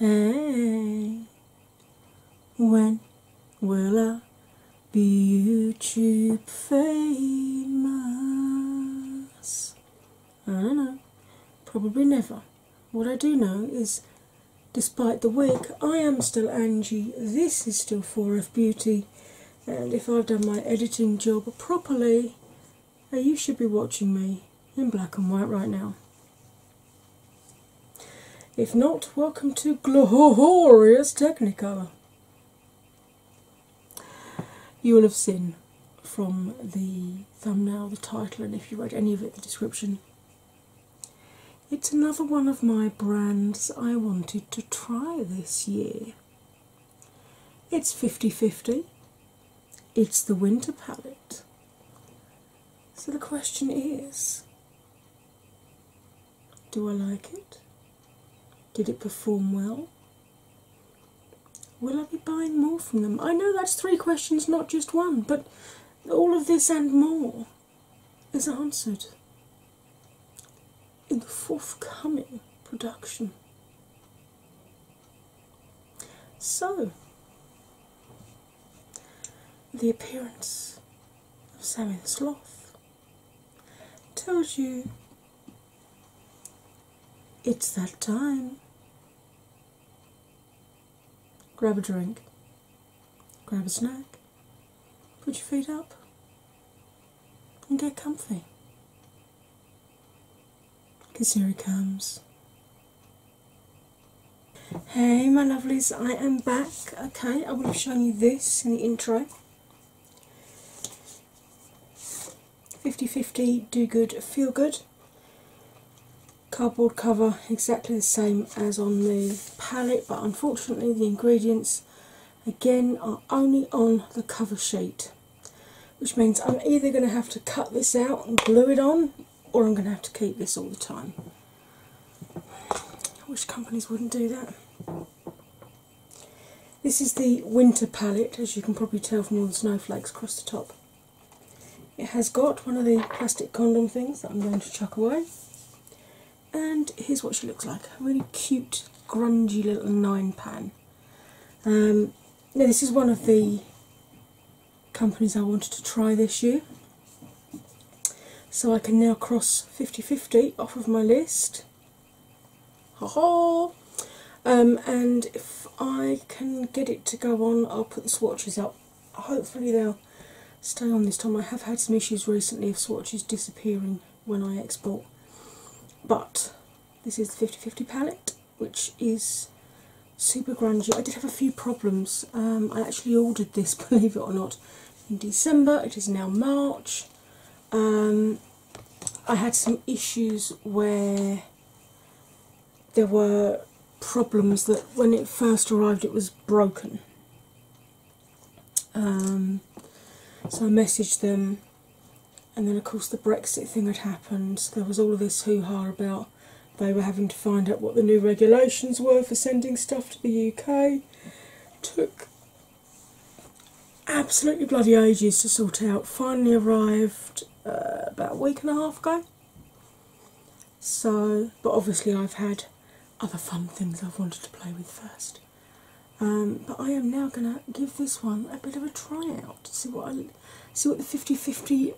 Hey, when will our YouTube famous? I don't know, probably never. What I do know is, despite the wig, I am still Angie. This is still 4F Beauty, and if I've done my editing job properly, uh, you should be watching me in black and white right now. If not, welcome to glorious Technicolor. You will have seen from the thumbnail, the title, and if you read any of it, the description. It's another one of my brands I wanted to try this year. It's 50 50, it's the winter palette. So the question is do I like it? Did it perform well? Will I be buying more from them? I know that's three questions, not just one, but all of this and more is answered in the forthcoming production. So, the appearance of Sammy Sloth tells you it's that time. Grab a drink, grab a snack, put your feet up, and get comfy. Because here he comes. Hey, my lovelies, I am back. Okay, I will have shown you this in the intro. 50-50 do good feel good cardboard cover exactly the same as on the palette but unfortunately the ingredients again are only on the cover sheet which means I'm either going to have to cut this out and glue it on or I'm going to have to keep this all the time. I wish companies wouldn't do that. This is the winter palette, as you can probably tell from all the snowflakes across the top. It has got one of the plastic condom things that I'm going to chuck away. And here's what she looks like a really cute, grungy little nine pan. Um, now, this is one of the companies I wanted to try this year. So I can now cross 50 50 off of my list Ha ha! Um, and if I can get it to go on, I'll put the swatches up. Hopefully, they'll stay on this time. I have had some issues recently of swatches disappearing when I export, but this is the 50/50 palette, which is super grungy. I did have a few problems. Um, I actually ordered this, believe it or not, in December. It is now March. Um, I had some issues where there were problems that when it first arrived it was broken. Um, so I messaged them, and then of course the Brexit thing had happened. There was all of this hoo ha about they were having to find out what the new regulations were for sending stuff to the UK. Took absolutely bloody ages to sort out. Finally arrived uh, about a week and a half ago. So, but obviously, I've had other fun things I've wanted to play with first. Um, but I am now going to give this one a bit of a try out to see what I, see what the 50 50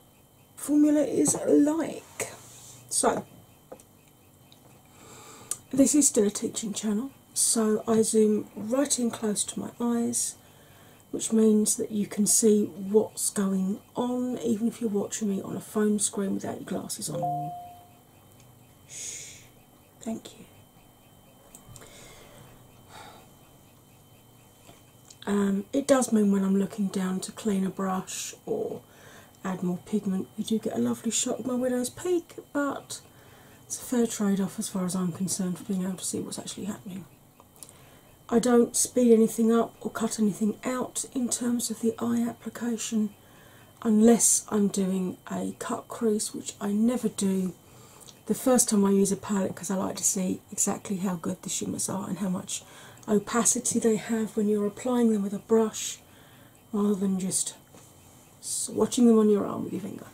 formula is like. So, this is still a teaching channel so I zoom right in close to my eyes, which means that you can see what's going on, even if you're watching me on a phone screen without your glasses on. Shh. Thank you. Um, it does mean when I'm looking down to clean a brush or add more pigment, you do get a lovely shot of my widow's peak, but it's a fair trade off as far as I'm concerned for being able to see what's actually happening. I don't speed anything up or cut anything out in terms of the eye application unless I'm doing a cut crease, which I never do. The first time I use a palette because I like to see exactly how good the shimmers are and how much opacity they have when you're applying them with a brush rather than just swatching them on your arm with your finger.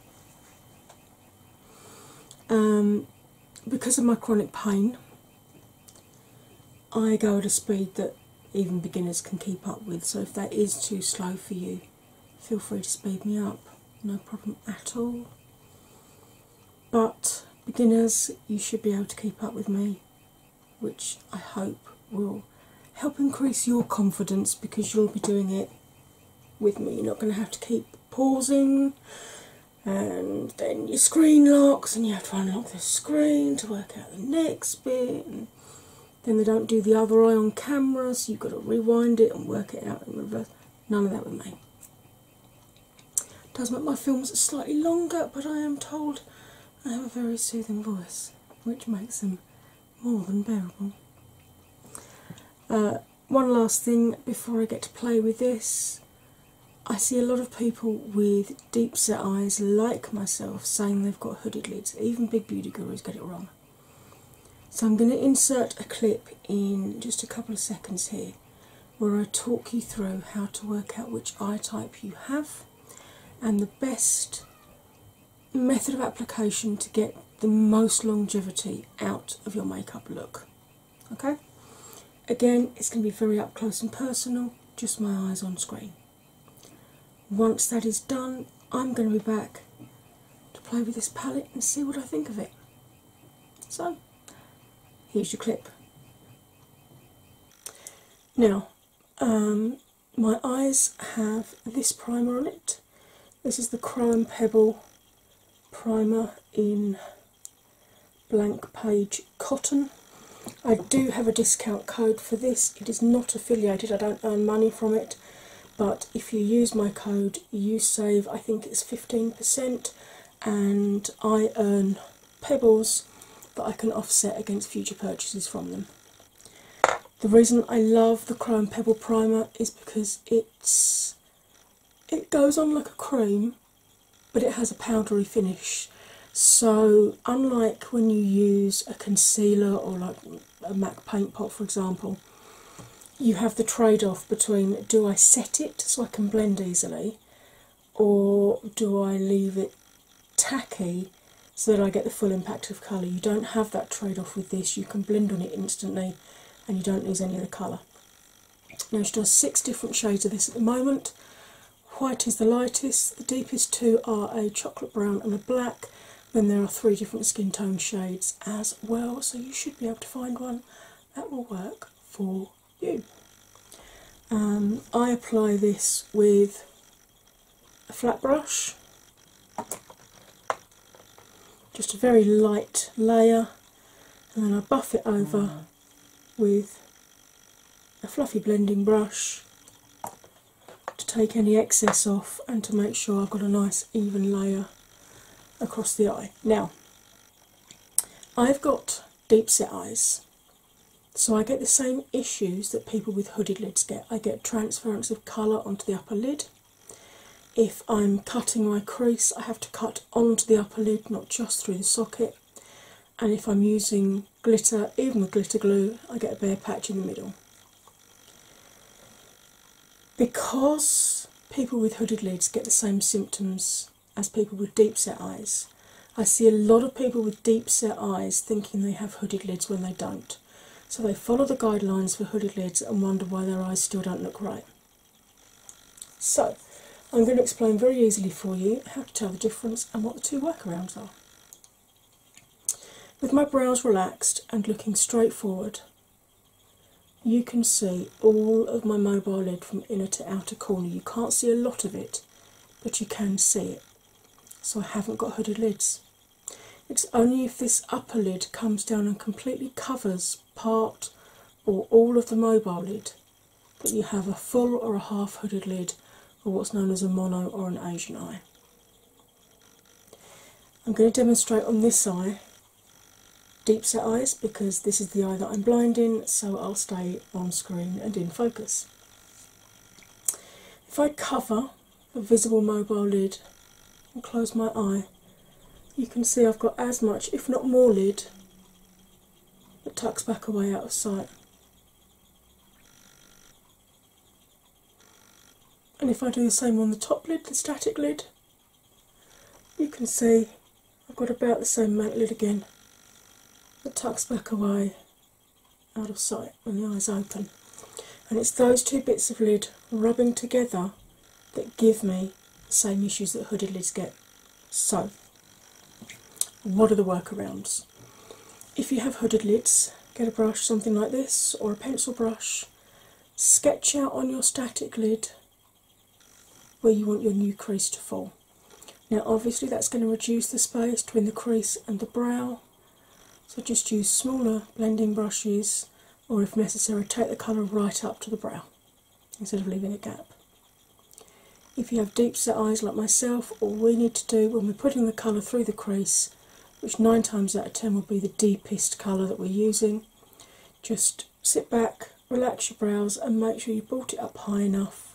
Um, because of my chronic pain, I go at a speed that even beginners can keep up with. So if that is too slow for you, feel free to speed me up, no problem at all. But beginners, you should be able to keep up with me, which I hope will help increase your confidence because you'll be doing it with me. You're not going to have to keep pausing and then your screen locks and you have to unlock the screen to work out the next bit. then they don't do the other eye on camera, so you've got to rewind it and work it out in reverse. None of that with me. It does make my films slightly longer, but I am told I have a very soothing voice, which makes them more than bearable. Uh, one last thing before I get to play with this. I see a lot of people with deep set eyes like myself saying they've got hooded lids. Even big beauty gurus get it wrong. So I'm going to insert a clip in just a couple of seconds here where I talk you through how to work out which eye type you have and the best method of application to get the most longevity out of your makeup look. Okay? Again, it's going to be very up close and personal, just my eyes on screen. Once that is done, I'm going to be back to play with this palette and see what I think of it. So, here's your clip. Now, um, my eyes have this primer on it. This is the Crime Pebble primer in blank page cotton. I do have a discount code for this. It is not affiliated, I don't earn money from it, but if you use my code, you save I think it's 15%, and I earn pebbles that I can offset against future purchases from them. The reason I love the Chrome Pebble Primer is because it it goes on like a cream but it has a powdery finish so unlike when you use a concealer or like a mac paint pot for example you have the trade-off between do i set it so i can blend easily or do i leave it tacky so that i get the full impact of colour you don't have that trade-off with this you can blend on it instantly and you don't lose any of the colour. Now she does six different shades of this at the moment. White is the lightest, the deepest two are a chocolate brown and a black. Then there are three different skin tone shades as well, so you should be able to find one that will work for you. Um, I apply this with a flat brush just a very light layer, and then I buff it over mm. with a fluffy blending brush to take any excess off and to make sure I've got a nice even layer across the eye. Now, I've got deep set eyes, so I get the same issues that people with hooded lids get. I get transference of colour onto the upper lid, if I'm cutting my crease, I have to cut onto the upper lid, not just through the socket. And if I'm using glitter, even with glitter glue, I get a bare patch in the middle. Because people with hooded lids get the same symptoms as people with deep set eyes, I see a lot of people with deep set eyes thinking they have hooded lids when they don't so they follow the guidelines for hooded lids and wonder why their eyes still don't look right. So, I'm going to explain very easily for you how to tell the difference and what the two workarounds are. With my brows relaxed and looking straight forward, you can see all of my mobile lid from inner to outer corner. You can't see a lot of it, but you can see it. So I haven't got hooded lids. It's only if this upper lid comes down and completely covers part or all of the mobile lid that you have a full or a half hooded lid, or what's known as a mono or an Asian eye. I'm going to demonstrate on this eye deep set eyes because this is the eye that I'm blind in, so I'll stay on screen and in focus. If I cover a visible mobile lid and close my eye, you can see I've got as much, if not more, lid that tucks back away out of sight. And if I do the same on the top lid, the static lid, you can see I've got about the same amount lid again that tucks back away out of sight when the eye's open. And it's those two bits of lid rubbing together that give me the same issues that hooded lids get. So, what are the workarounds? If you have hooded lids, get a brush, something like this, or a pencil brush, sketch out on your static lid where you want your new crease to fall. Now, obviously, that's going to reduce the space between the crease and the brow, so just use smaller blending brushes or if necessary, take the colour right up to the brow instead of leaving a gap. If you have deep set eyes like myself, all we need to do when we're putting the colour through the crease, which nine times out of ten will be the deepest colour that we're using, just sit back, relax your brows, and make sure you brought it up high enough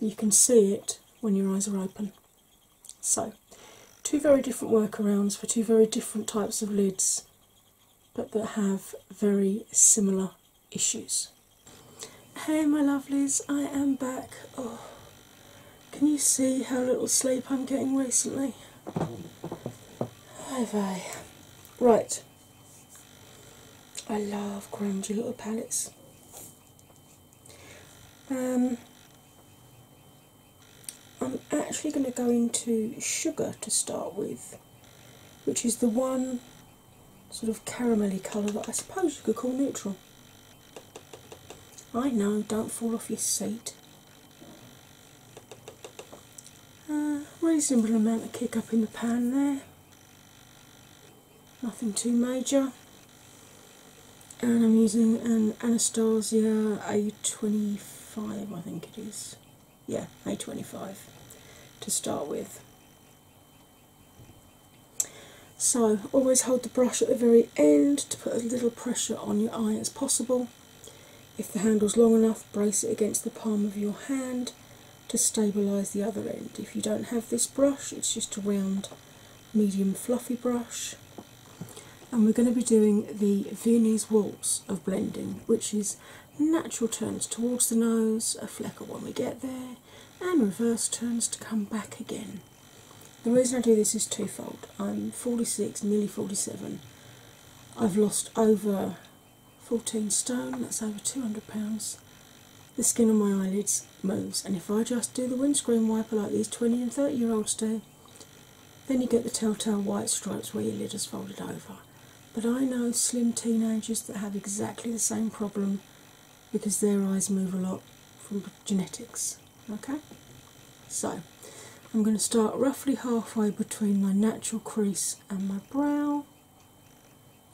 that you can see it when your eyes are open. So, two very different workarounds for two very different types of lids, but that have very similar issues. Hey, my lovelies, I am back. Oh, can you see how little sleep I'm getting recently? Have I? Right. I love grungy little palettes. Um, I'm actually going to go into Sugar to start with, which is the one sort of caramelly colour that I suppose you could call neutral. I know, don't fall off your seat. Uh, reasonable amount of kick up in the pan there, nothing too major. And I'm using an Anastasia A24 five, I think it is. Yeah, A25 to start with. So, always hold the brush at the very end to put as little pressure on your eye as possible. If the handle's long enough, brace it against the palm of your hand to stabilise the other end. If you don't have this brush, it's just a round, medium, fluffy brush and we're going to be doing the Viennese Waltz of blending, which is natural turns towards the nose, a flecker when we get there, and reverse turns to come back again. The reason I do this is twofold. I'm 46, nearly 47. I've lost over 14 stone, that's over 200 pounds. The skin on my eyelids moves, and if I just do the windscreen wiper like these 20 and 30 year olds do, then you get the telltale white stripes where your lid is folded over. But I know slim teenagers that have exactly the same problem because their eyes move a lot from genetics. Okay? So I'm going to start roughly halfway between my natural crease and my brow.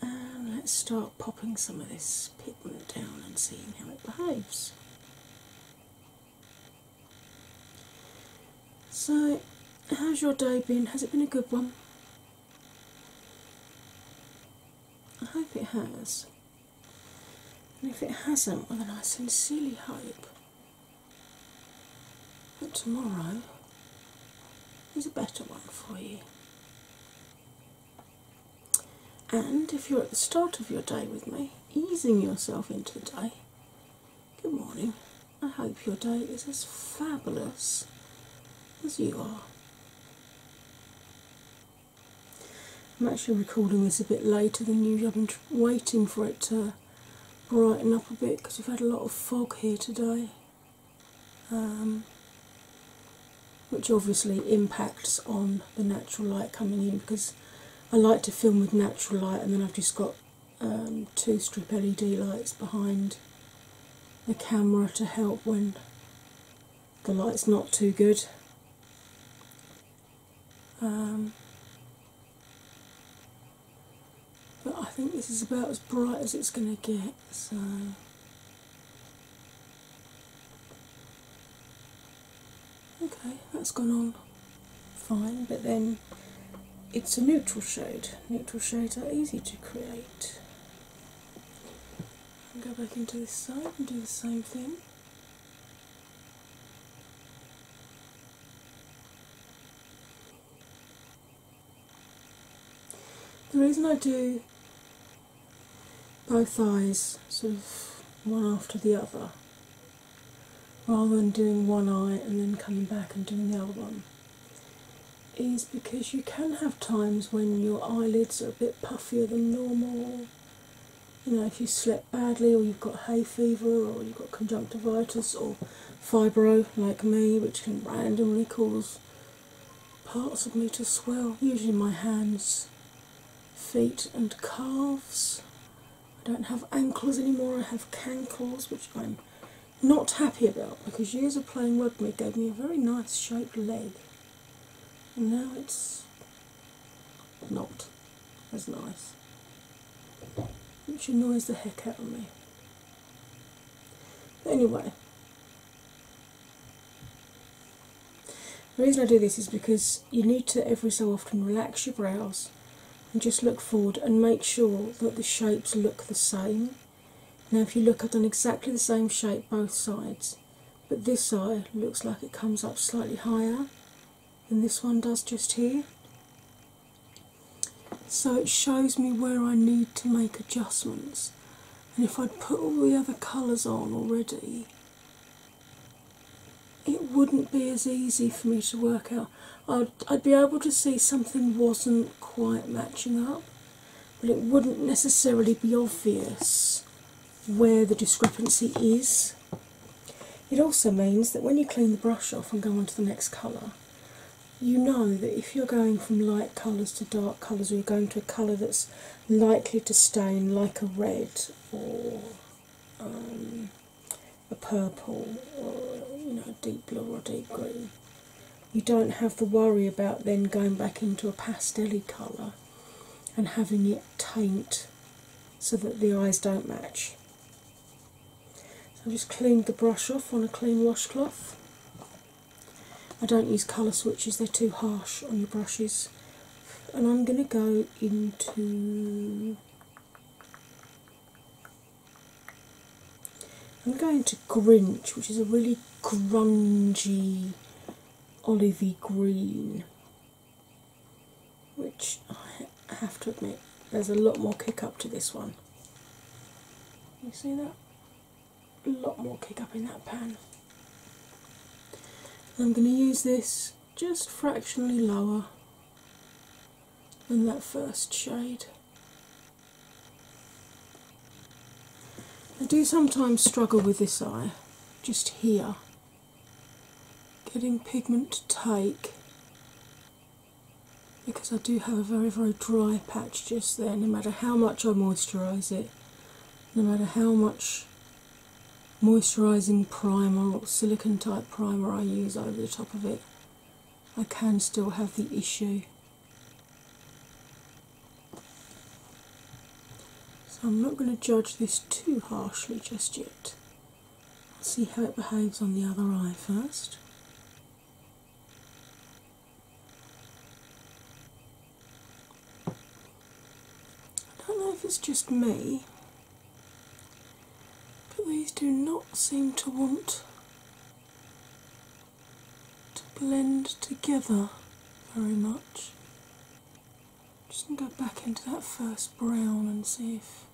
And let's start popping some of this pigment down and seeing how it behaves. So, how's your day been? Has it been a good one? I hope it has. And if it hasn't, well, then I sincerely hope that tomorrow is a better one for you. And if you're at the start of your day with me, easing yourself into the day Good morning. I hope your day is as fabulous as you are. I'm actually recording this a bit later than usual. I've been waiting for it to brighten up a bit because we've had a lot of fog here today, um, which obviously impacts on the natural light coming in because I like to film with natural light and then I've just got um, two strip LED lights behind the camera to help when the light's not too good. Um, but I think this is about as bright as it's going to get, so. Okay, that's gone on fine, but then it's a neutral shade. Neutral shades are easy to create. go back into this side and do the same thing. The reason I do both eyes sort of one after the other rather than doing one eye and then coming back and doing the other one is because you can have times when your eyelids are a bit puffier than normal. You know, if you slept badly, or you've got hay fever, or you've got conjunctivitis, or fibro like me, which can randomly cause parts of me to swell, usually my hands, feet, and calves. I don't have ankles anymore, I have cankles, which I'm not happy about because years of playing rugby gave me a very nice shaped leg, and now it's not as nice, which annoys the heck out of me. But anyway, the reason I do this is because you need to every so often relax your brows and just look forward and make sure that the shapes look the same. Now, if you look, I've done exactly the same shape both sides, but this eye looks like it comes up slightly higher than this one does just here. So it shows me where I need to make adjustments. And if I'd put all the other colours on already, it wouldn't be as easy for me to work out. I'd, be able to see something wasn't quite matching up, but it wouldn't necessarily be obvious where the discrepancy is. It also means that when you clean the brush off and go on to the next colour, you know that if you're going from light colours to dark colours, or you're going to a colour that's likely to stain, like a red or um, a purple or you know, a deep blue or deep green. You don't have to worry about then going back into a pastelly colour and having it taint so that the eyes don't match. I've just cleaned the brush off on a clean washcloth. I don't use colour switches, they're too harsh on your brushes. And I'm going to go into I'm going to Grinch, which is a really grungy olivey green, which I have to admit there's a lot more kick up to this one. You see that? A lot more kick up in that pan. I'm going to use this just fractionally lower than that first shade. I do sometimes struggle with this eye, just here, getting pigment to take because I do have a very, very dry patch just there, no matter how much I moisturise it, no matter how much moisturising primer or silicon type primer I use over the top of it, I can still have the issue. So I'm not going to judge this too harshly just yet. see how it behaves on the other eye first. I don't know if it's just me, but these do not seem to want to blend together very much. Just gonna go back into that first brown and see if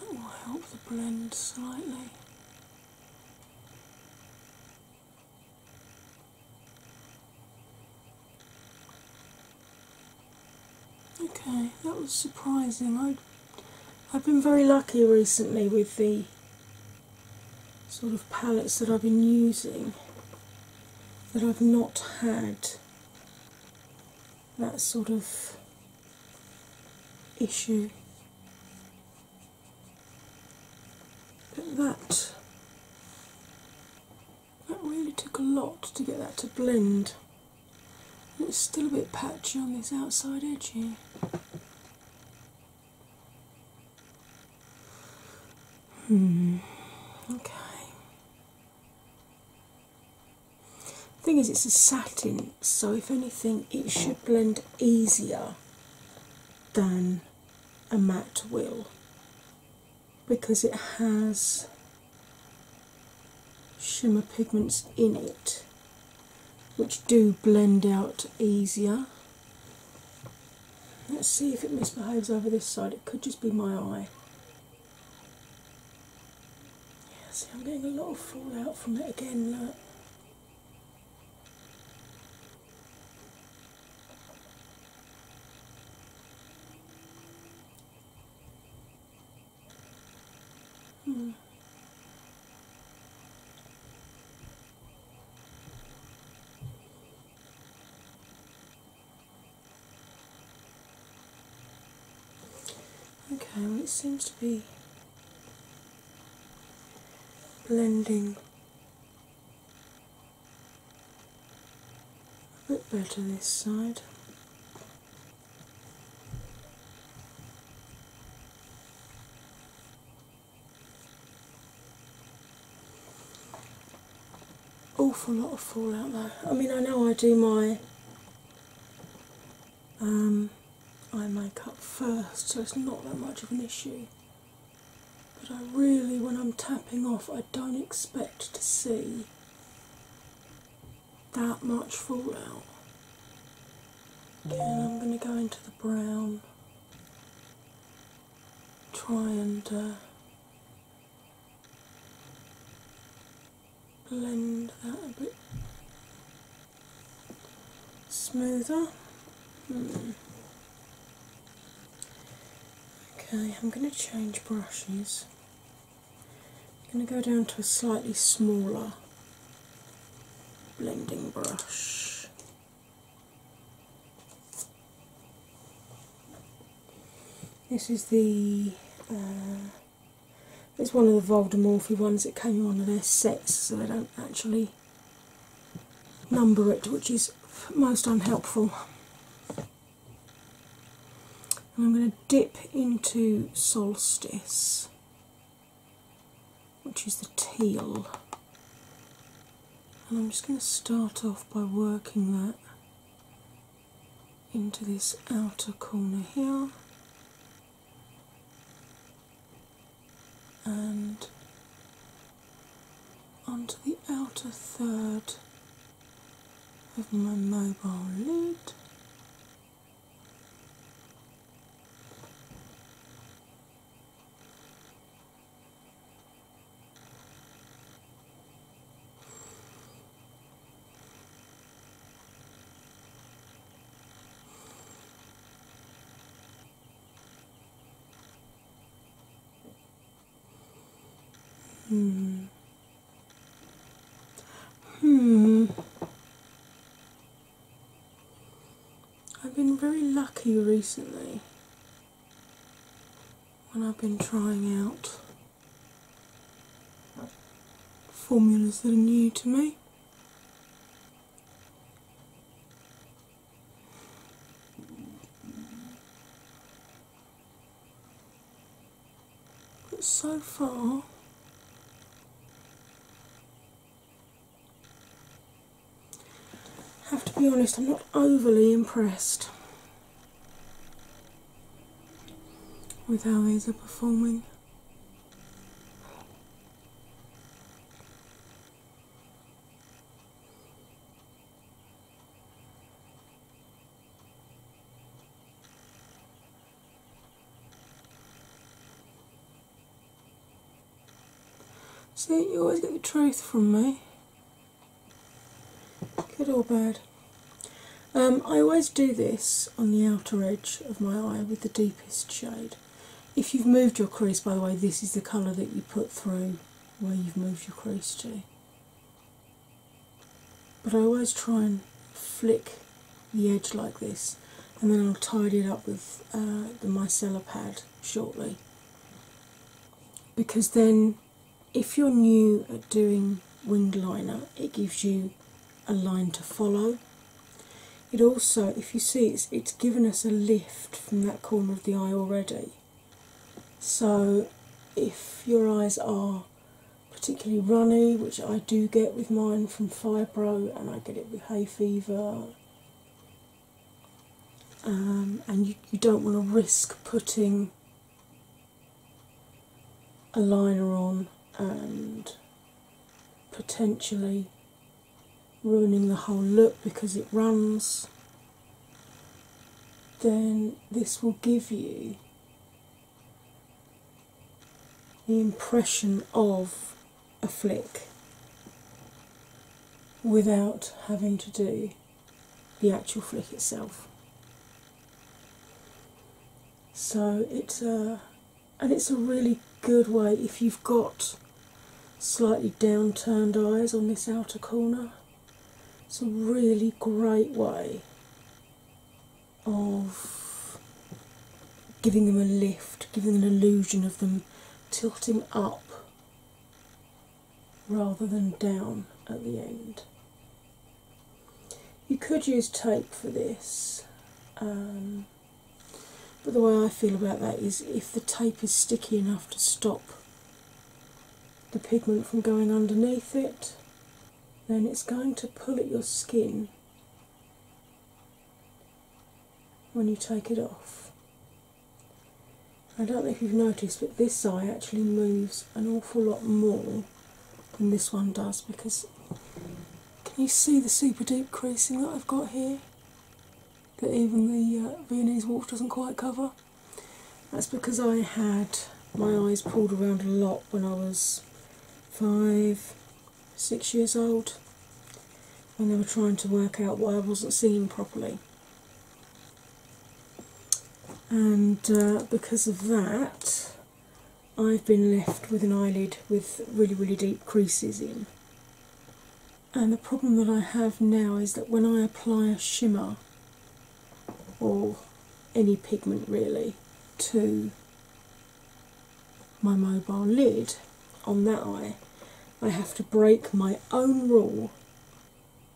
that will help the blend slightly. Okay, that was surprising. I, I've been very lucky recently with the sort of palettes that I've been using that I've not had that sort of issue. But that that really took a lot to get that to blend. it's still a bit patchy on this outside edge here. Hmm, okay. Thing is, it's a satin, so if anything, it should blend easier than a matte will because it has shimmer pigments in it which do blend out easier. Let's see if it misbehaves over this side, it could just be my eye. Yeah, see, I'm getting a lot of fallout from it again. Look. Hmm. Okay, it seems to be blending a bit better this side. Awful lot of fallout though. I mean, I know I do my um, eye makeup first, so it's not that much of an issue. But I really, when I'm tapping off, I I don't expect to see that much fallout. Okay, I'm going to go into the brown, try and uh, blend that a bit smoother. Hmm. Okay, I'm going to change brushes. I'm going to go down to a slightly smaller blending brush. This is the uh, one of the Voldemorphy ones that came on their sets, so they don't actually number it, which is most unhelpful. I'm going to dip into Solstice, which is the teal. And I'm just going to start off by working that into this outer corner here. And onto the outer third with my mobile lid. Hmm. Hmm. I've been very lucky recently when I've been trying out formulas that are new to me. But so far, I have to be honest, I'm not overly impressed with how these are performing. See, you always get the truth from me. Good or bad. Um, I always do this on the outer edge of my eye with the deepest shade. If you've moved your crease, by the way, this is the colour that you put through where you've moved your crease to. But I always try and flick the edge like this, and then I'll tidy it up with uh, the micellar pad shortly. Because then, if you're new at doing winged liner, it gives you a line to follow. It also, if you see, it's given us a lift from that corner of the eye already. So, if your eyes are particularly runny, which I do get with mine from fibro, and I get it with hay fever, um, and you don't want to risk putting a liner on and potentially ruining the whole look because it runs then this will give you the impression of a flick without having to do the actual flick itself. So it's a and it's a really good way if you've got slightly downturned eyes on this outer corner it's a really great way of giving them a lift, giving an illusion of them tilting up rather than down at the end. You could use tape for this, um, but the way I feel about that is if the tape is sticky enough to stop the pigment from going underneath it, then it's going to pull at your skin when you take it off. I don't know if you've noticed, but this eye actually moves an awful lot more than this one does because can you see the super deep creasing that I've got here that even the uh, Viennese waltz doesn't quite cover? That's because I had my eyes pulled around a lot when I was five, six years old, and they were trying to work out why I wasn't seeing properly. And uh, because of that, I've been left with an eyelid with really, really deep creases in. And the problem that I have now is that when I apply a shimmer, or any pigment really to my mobile lid on that eye. I have to break my own rule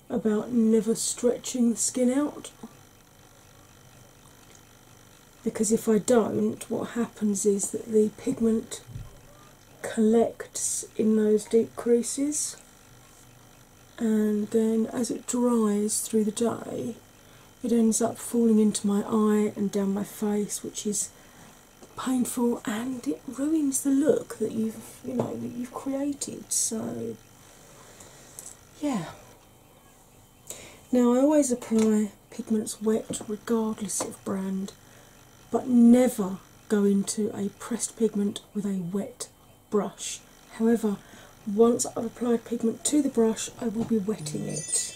about never stretching the skin out because if I don't, what happens is that the pigment collects in those deep creases and then as it dries through the day, it ends up falling into my eye and down my face, which is painful and it ruins the look that you've you know that you've created. So yeah. Now I always apply pigments wet regardless of brand, but never go into a pressed pigment with a wet brush. However, once I've applied pigment to the brush, I will be wetting it.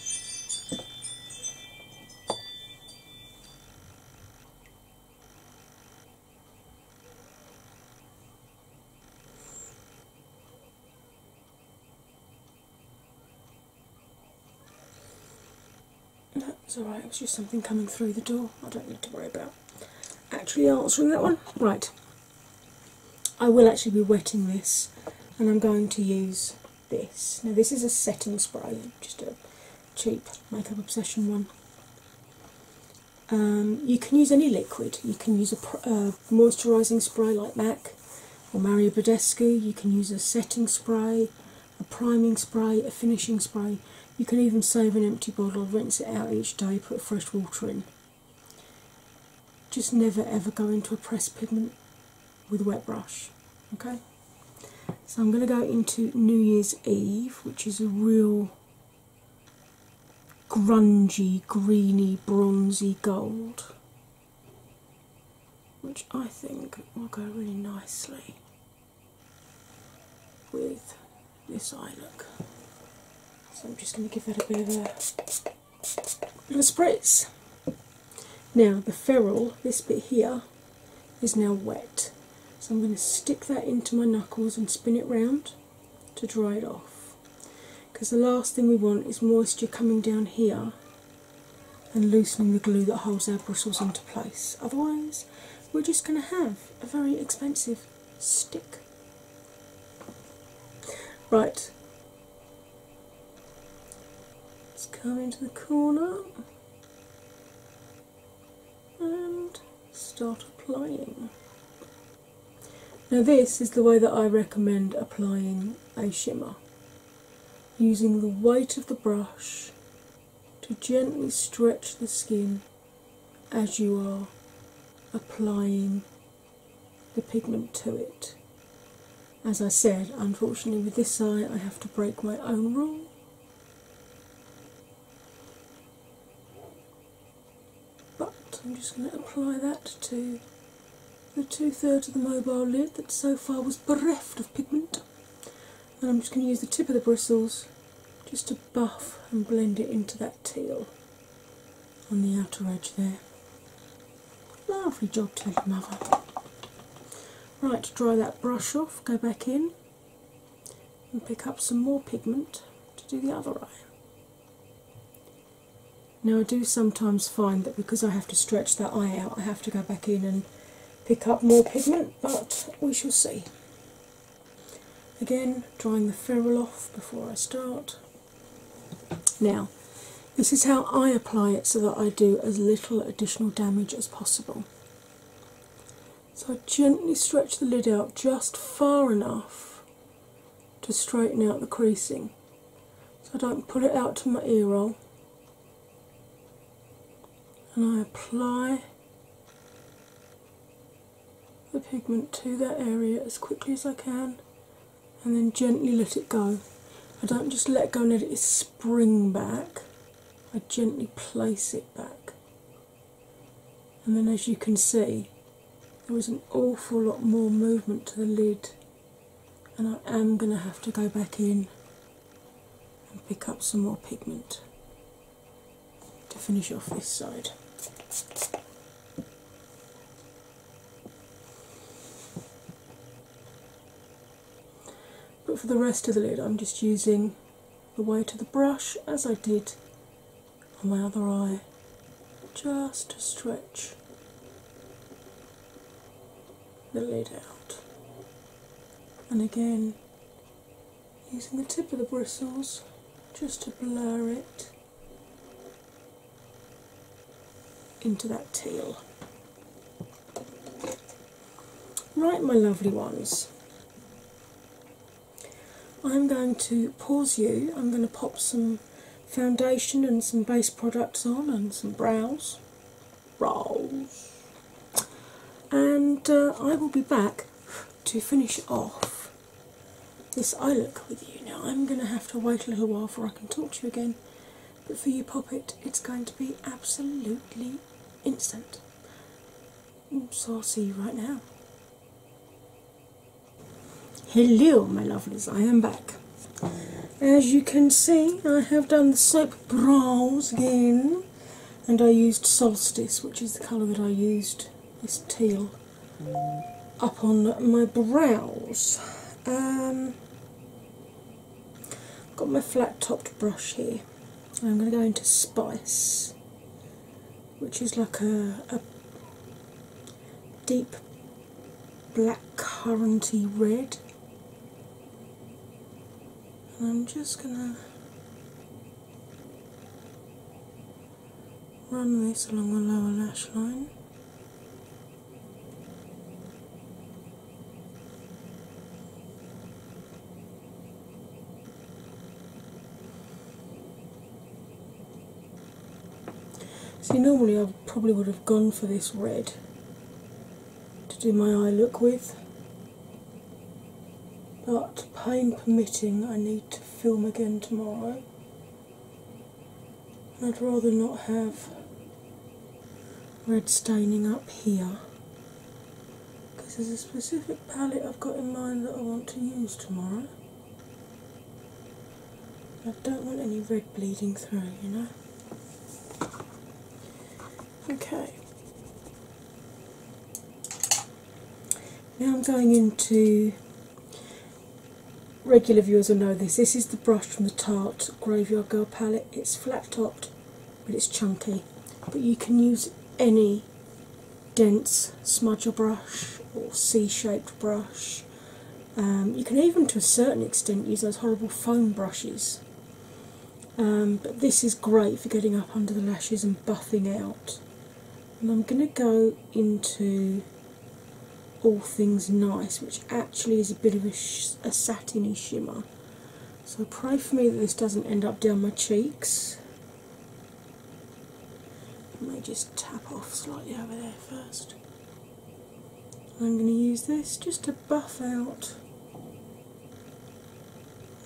That's alright, it was just something coming through the door. I don't need to worry about actually answering that one. Right, I will actually be wetting this and I'm going to use this. Now, this is a setting spray, just a cheap makeup obsession one. Um, you can use any liquid, you can use a uh, moisturising spray like MAC or Mario Badescu, you can use a setting spray, a priming spray, a finishing spray. You can even save an empty bottle, rinse it out each day, put fresh water in. Just never ever go into a pressed pigment with a wet brush. Okay? So I'm going to go into New Year's Eve, which is a real grungy, greeny, bronzy gold, which I think will go really nicely with this eye look. So I'm just going to give that a bit of a, little spritz. Now the ferrule, this bit here, is now wet. So I'm going to stick that into my knuckles and spin it round to dry it off. Because the last thing we want is moisture coming down here and loosening the glue that holds our bristles into place. Otherwise, we're just going to have a very expensive stick. Right, let's come into the corner and start applying. Now, this is the way that I recommend applying a shimmer using the weight of the brush to gently stretch the skin as you are applying the pigment to it. As I said, unfortunately, with this eye, I have to break my own rule. But I'm just going to apply that to the two thirds of the mobile lid that so far was bereft of pigment. And I'm just going to use the tip of the bristles just to buff and blend it into that teal on the outer edge there. Lovely job to your mother. Right, dry that brush off, go back in and pick up some more pigment to do the other eye. Now, I do sometimes find that because I have to stretch that eye out, I have to go back in and pick up more pigment, but we shall see. Again, drawing the ferrule off before I start. Now, this is how I apply it so that I do as little additional damage as possible. So I gently stretch the lid out just far enough to straighten out the creasing. So I don't put it out to my ear roll. And I apply the pigment to that area as quickly as I can and then gently let it go. I don't just let go and let it spring back, I gently place it back. And then, as you can see, there is an awful lot more movement to the lid, and I am going to have to go back in and pick up some more pigment to finish off this side. But for the rest of the lid, I'm just using the weight of the brush as I did on my other eye, just to stretch the lid out. And again, using the tip of the bristles just to blur it into that teal. Right, my lovely ones, I'm going to pause you. I'm going to pop some foundation and some base products on, and some brows. brows, And uh, I will be back to finish off this I look with you. Now I'm going to have to wait a little while before I can talk to you again, but for you, pop it, it's going to be absolutely instant. Mm, so I'll see you right now. Hello, my lovelies, I am back. As you can see, I have done the soap brows again, and I used Solstice, which is the colour that I used this teal up on my brows. Um, got my flat topped brush here. I'm going to go into Spice, which is like a, a deep black curranty red. And I'm just going to run this along the lower lash line. See, normally I probably would have gone for this red to do my eye look with, but pain permitting, I need to film again tomorrow. I'd rather not have red staining up here because there's a specific palette I've got in mind that I want to use tomorrow. I don't want any red bleeding through, you know. Okay. Now I'm going into regular viewers will know this. This is the brush from the Tart Graveyard Girl palette. It's flat topped but it's chunky. But you can use any dense smudger brush or C shaped brush. Um, you can even to a certain extent use those horrible foam brushes. Um, but this is great for getting up under the lashes and buffing out and I'm going to go into All Things Nice, which actually is a bit of a, satiny shimmer. So pray for me that this doesn't end up down my cheeks. I may just tap off slightly over there first. I'm going to use this just to buff out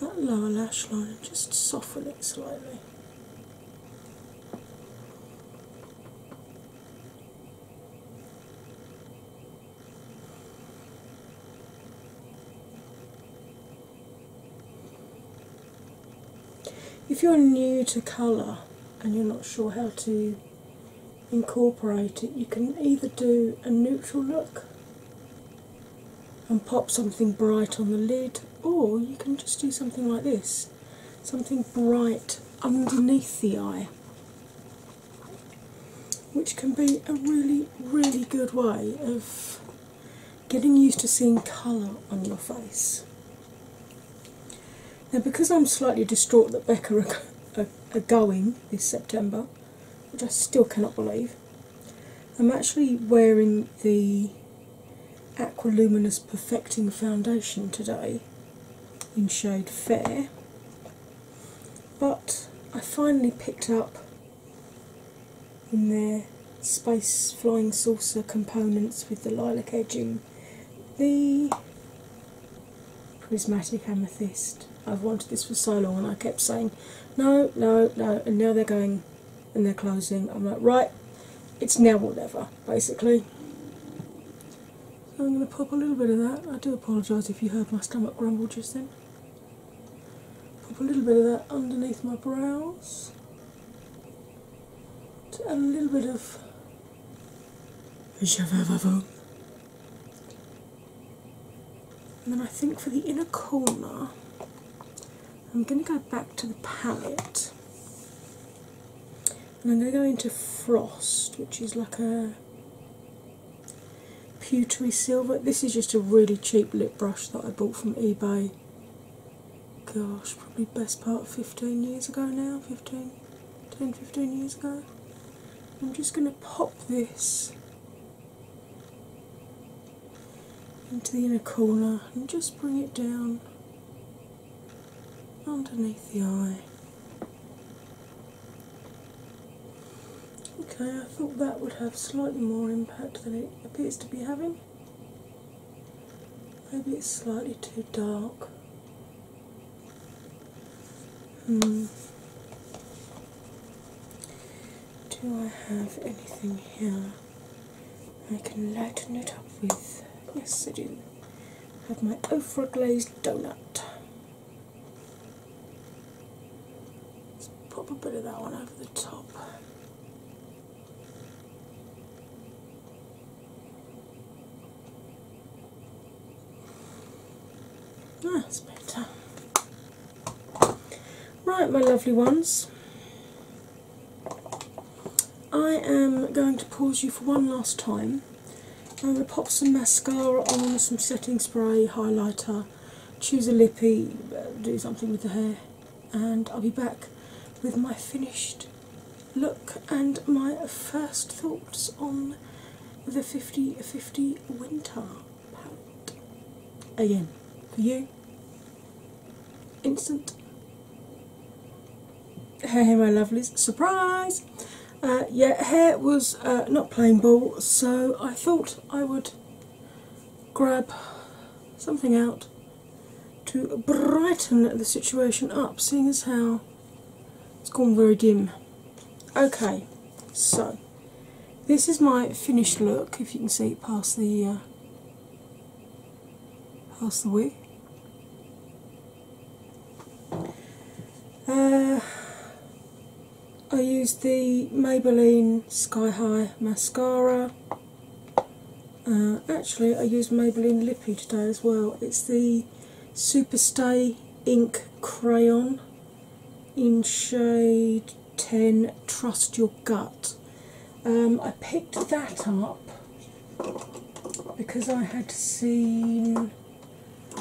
that lower lash line and just soften it slightly. If you're new to colour and you're not sure how to incorporate it, you can either do a neutral look and pop something bright on the lid, or you can just do something like this something bright underneath the eye, which can be a really, really good way of getting used to seeing colour on your face. Now, because I'm slightly distraught that Becca are, are going this September, which I still cannot believe. I'm actually wearing the Aquiluminous Perfecting Foundation today in shade Fair, but I finally picked up in their Space Flying Saucer components with the lilac edging the Prismatic Amethyst. I've wanted this for so long and I kept saying no, no, no, and now they're going, and they're closing. I'm like, right, it's now or never, basically. I'm going to pop a little bit of that. I do apologise if you heard my stomach grumble just then. Pop a little bit of that underneath my brows a little bit of. And then I think for the inner corner, I'm going to go back to the palette and I'm going to go into Frost, which is like a pewtery silver. This is just a really cheap lip brush that I bought from eBay. Gosh, probably best part 15 years ago now, 15, 10, 15 years ago. I'm just going to pop this into the inner corner and just bring it down underneath the eye. Okay, I thought that would have slightly more impact than it appears to be having. Maybe it's slightly too dark. Hmm do I have anything here I can lighten it up with? Yes, I do. I have my Ofra glazed donut. Let's pop a bit of that one over the top. That's ah, better. Right, my lovely ones. I am going to pause you for one last time. I'm going to pop some mascara on, some setting spray, highlighter, choose a lippy, do something with the hair, and I'll be back with my finished look and my first thoughts on the 50 50 winter palette. Again, for you, instant. Hey, hey, my lovelies! Surprise! Uh, yeah, hair was uh, not playing ball, so I thought I would grab something out to brighten the situation up, seeing as how it's gone very dim. Okay, so this is my finished look. If you can see it past the uh, pass away. Uh, I used the Maybelline Sky High mascara. Uh, actually, I used Maybelline Lippy today as well. It's the Super Stay Ink Crayon in shade 10 Trust Your Gut. Um, I picked that up because I had seen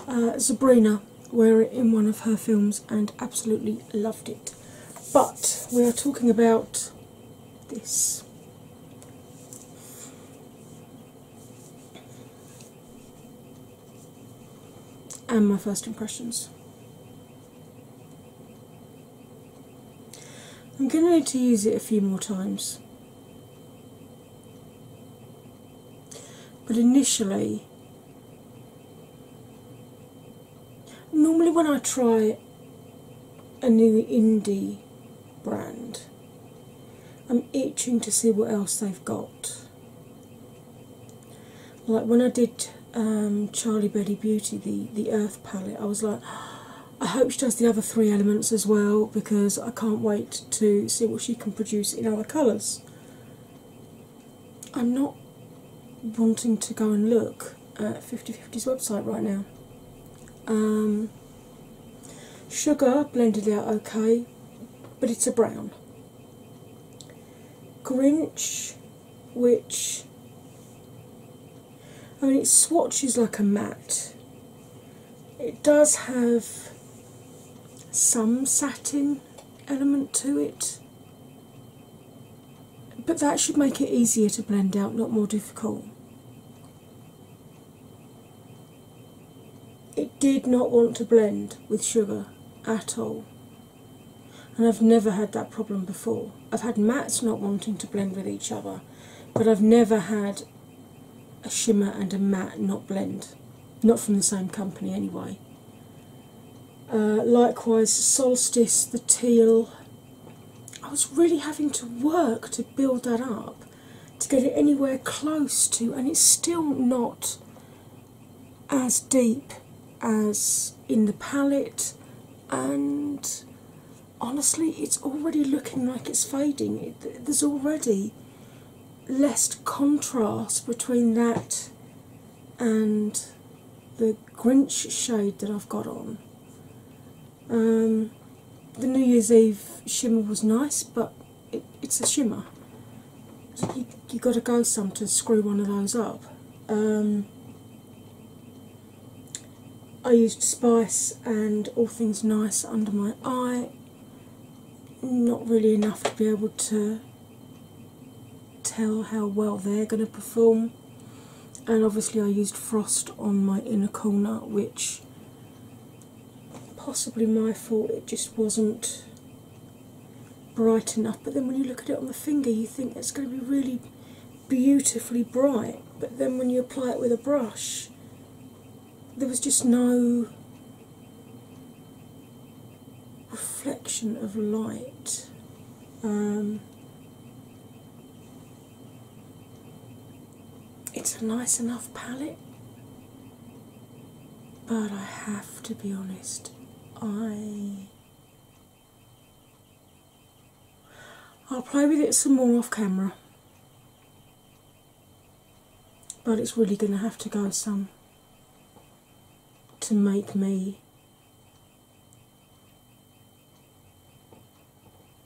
uh, Sabrina wear it in one of her films and absolutely loved it. But we are talking about this. And my first impressions. I'm going to need to use it a few more times. But initially, normally when I try a new indie brand, I'm itching to see what else they've got. Like when I did um, Charlie Betty Beauty, the the Earth palette, I was like, I hope she does the other three elements as well because I can't wait to see what she can produce in other colours. I'm not wanting to go and look at Fifty 5050's website right now. Um, sugar blended out okay, but it's a brown. Grinch which I mean it swatches like a matte. It does have some satin element to it, but that should make it easier to blend out, not more difficult. It did not want to blend with sugar at all and I've never had that problem before. I've had mattes not wanting to blend with each other, but I've never had a shimmer and a matte not blend, not from the same company anyway. Uh, likewise, Solstice, the teal. I was really having to work to build that up to get it anywhere close to, and it's still not as deep as in the palette and honestly, it's already looking like it's fading. there's already less contrast between that and the Grinch shade that I've got on. Um, the New Year's Eve shimmer was nice, but it's a shimmer. you, you got to go some to screw one of those up. Um, I used Spice and All Things Nice under my eye. Not really enough to be able to tell how well they're going to perform. And obviously, I used Frost on my inner corner, which possibly my fault, it just wasn't bright enough. But then when you look at it on the finger, you think it's going to be really beautifully bright, but then when you apply it with a brush, there was just no reflection of light. Um, it's a nice enough palette, but I have to be honest, I I'll play with it some more off camera, but it's really going to have to go some to make me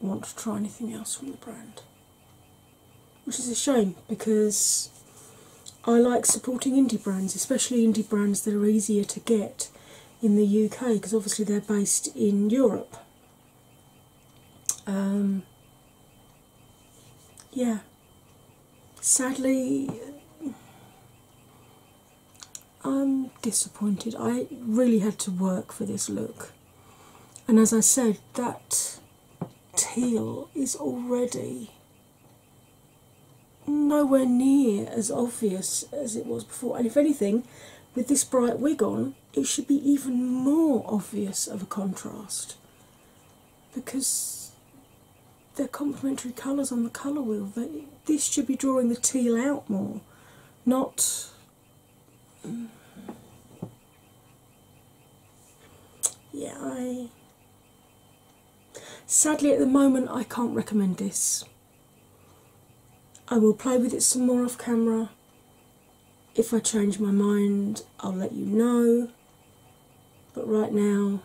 want to try anything else from the brand, which is a shame because I like supporting indie brands, especially indie brands that are easier to get in the UK because obviously they're based in Europe. Um, yeah, sadly, I'm disappointed. I really had to work for this look, and as I said, that teal is already nowhere near as obvious as it was before. And if anything, with this bright wig on, it should be even more obvious of a contrast because they're complementary colours on the colour wheel. this should be drawing the teal out more, not. Mm. Yeah, I. Sadly, at the moment, I can't recommend this. I will play with it some more off camera. If I change my mind, I'll let you know. But right now,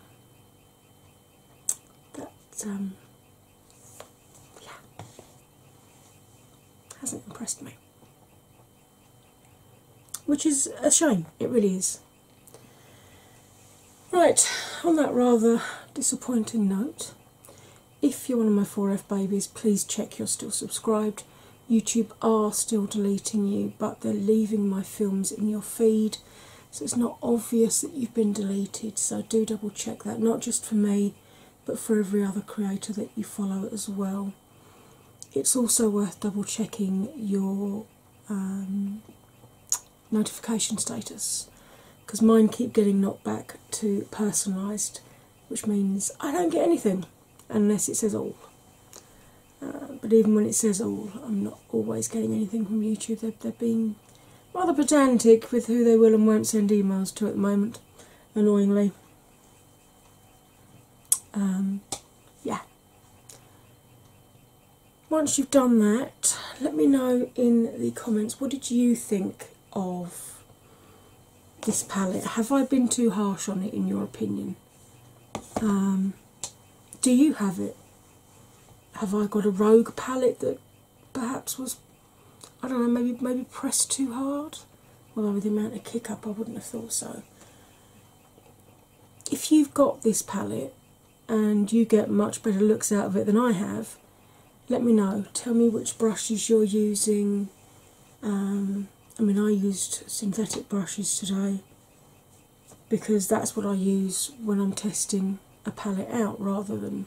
that um, yeah, hasn't impressed me. Which is a shame, it really is. Right, on that rather disappointing note, if you're one of my 4F babies, please check you're still subscribed. YouTube are still deleting you, but they're leaving my films in your feed, so it's not obvious that you've been deleted. So do double check that, not just for me, but for every other creator that you follow as well. It's also worth double checking your um, notification status because mine keep getting knocked back to personalised, which means I don't get anything unless it says all. Uh, but even when it says all, I'm not always getting anything from YouTube. they have been rather pedantic with who they will and won't send emails to at the moment, annoyingly. Um, yeah once you've done that, let me know in the comments what did you think of this palette? Have I been too harsh on it in your opinion? Um, do you have it? Have I got a rogue palette that perhaps was I don't know, maybe maybe pressed too hard? Well, with the amount of kick up I wouldn't have thought so. If you've got this palette and you get much better looks out of it than I have, let me know. Tell me which brushes you're using. Um, I mean, I used synthetic brushes today because that's what I use when I'm testing a palette out rather than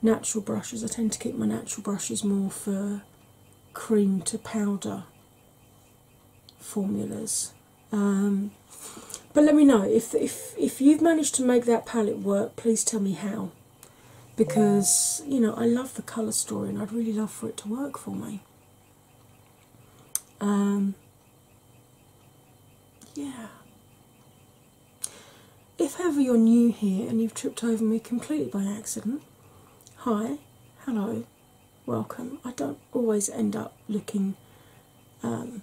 natural brushes. I tend to keep my natural brushes more for cream to powder formulas. Um, but let me know if if if you've managed to make that palette work. Please tell me how, because you know I love the colour story and I'd really love for it to work for me. Um, yeah. If ever you're new here and you've tripped over me completely by accident, hi, hello, welcome. I don't always end up looking um,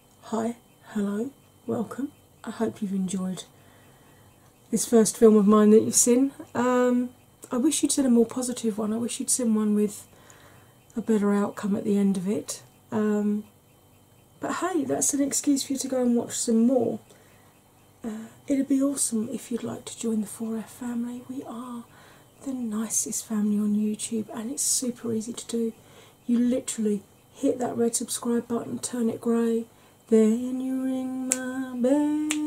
Hi, hello, welcome. I hope you've enjoyed this first film of mine that you've seen. Um, I wish you'd seen a more positive one. I wish you'd seen one with a better outcome at the end of it. Um, but hey, that's an excuse for you to go and watch some more. Uh, it'd be awesome if you'd like to join the 4F family. We are the nicest family on YouTube and it's super easy to do. You literally hit that red subscribe button, turn it grey. Then you ring my bell,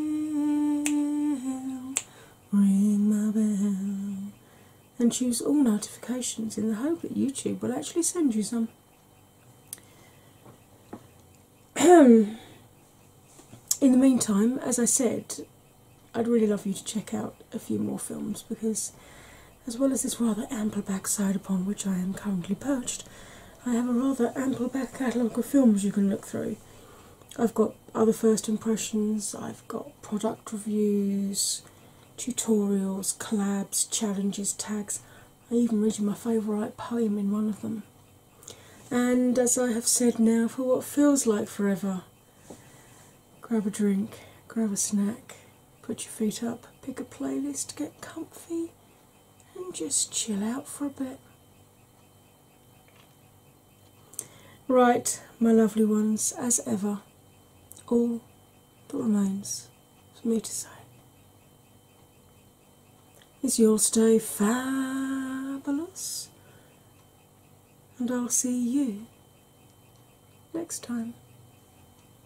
ring my bell, and choose all notifications in the hope that YouTube will actually send you some. in the meantime, as I said, I'd really love you to check out a few more films because as well as this rather ample backside upon which I am currently perched, I have a rather ample back catalogue of films you can look through. I've got other first impressions, I've got product reviews, tutorials, collabs, challenges, tags. I even read you my favourite poem in one of them. And as I have said now, for what feels like forever, grab a drink, grab a snack, put your feet up, pick a playlist, get comfy, and just chill out for a bit. Right, my lovely ones, as ever, all that remains for me to say is you'll stay fabulous, and I'll see you next time.